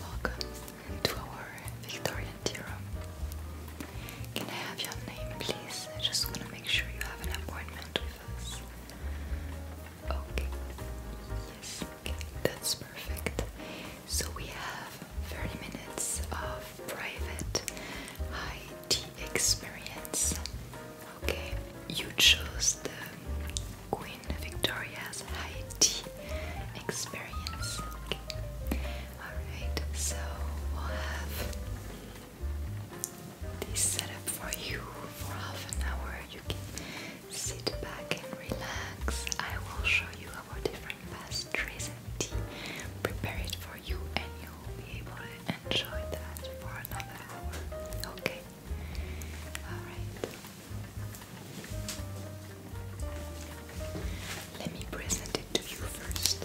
Welcome to our Victorian tea can I have your name, please? I just want to make sure you have an appointment with us. Okay. Yes. Okay. That's perfect. So we have 30 minutes of private high experience. Okay. You chose the Queen Victoria's high experience. Okay. Alright, so we'll have this set up for you for half an hour. You can sit back and relax. I will show you our different pastries and tea, prepare it for you, and you'll be able to enjoy that for another hour. Okay? Alright. Let me present it to you first.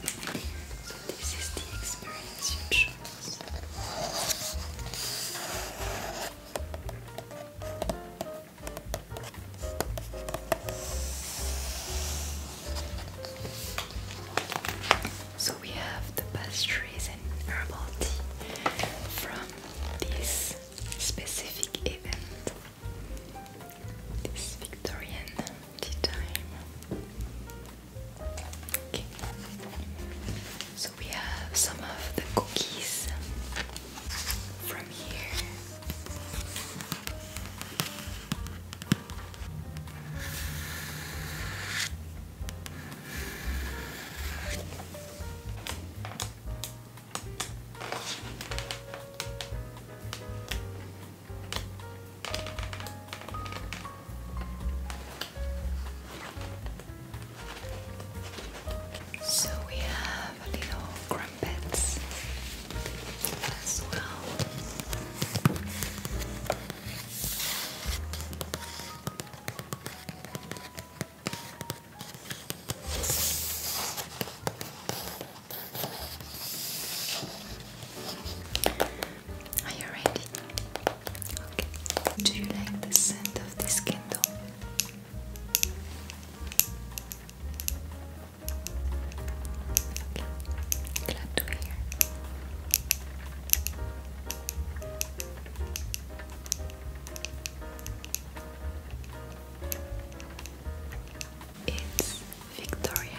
So this is the experience you chose. So we have the pastries and herbal tea from this specific event. This Victorian Okay. So we have some of the cookies from here. So we have little crumpets as well. Are you ready? Okay. Do you like the scent of this candle? Okay. Glad to hear. It's Victorian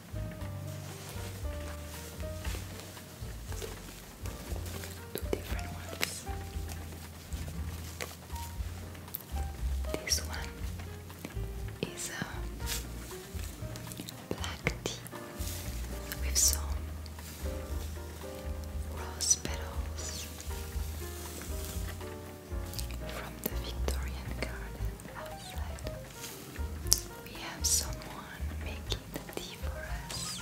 Two different ones. This one is a black tea with some rose petals from the Victorian garden outside. We have someone making the tea for us.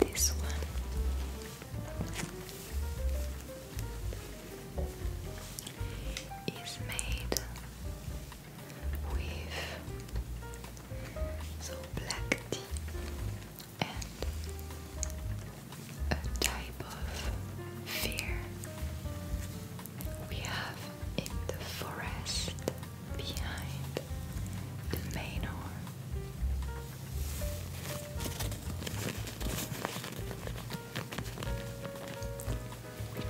This one is made with black tea and a type of fear we have in the forest behind the manor.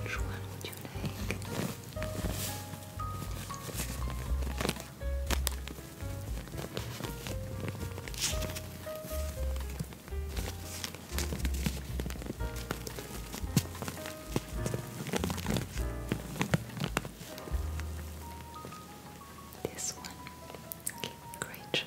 Which one would you take? This one. Okay, great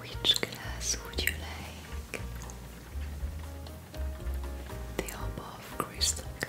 which glass would you like? The above crystal glass.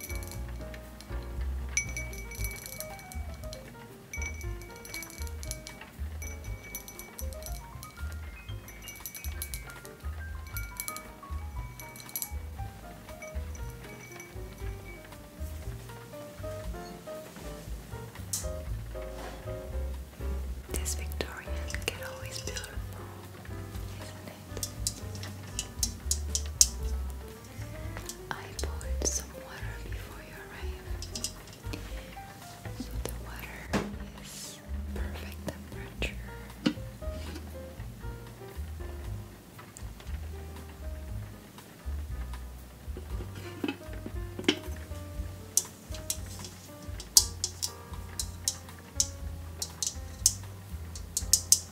This Victorian can always be beautiful, is I poured some water before you arrived, so the water is perfect temperature.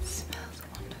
It smells wonderful.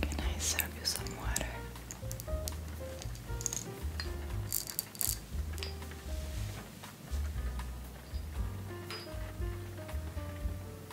Can I serve you some water?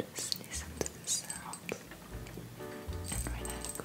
Just listen to the sound and relax.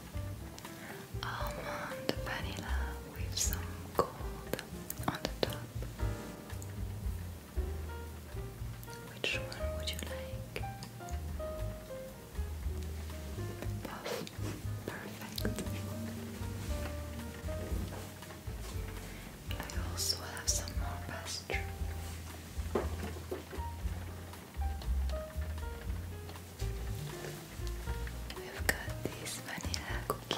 almond vanilla with some gold on the top. Which one would you like? Puff. Perfect. I also have some more pastry. We've got these vanilla cookies.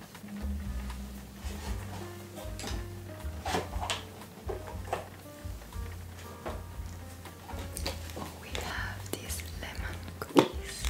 We have these lemon cookies.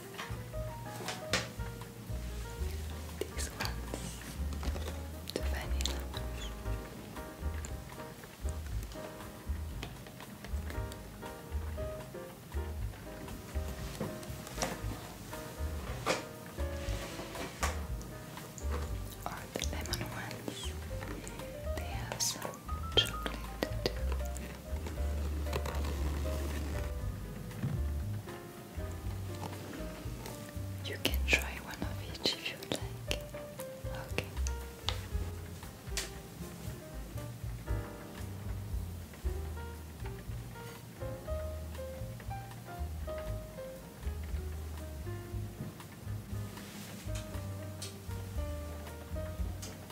These ones, the vanilla ones. Or the lemon ones. They some chocolate you can try one of each if you like. Okay.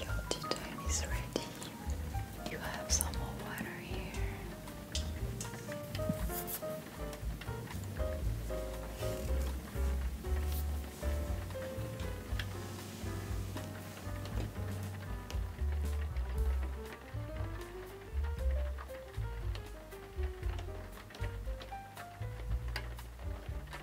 Your tea time is ready. You have some more water here.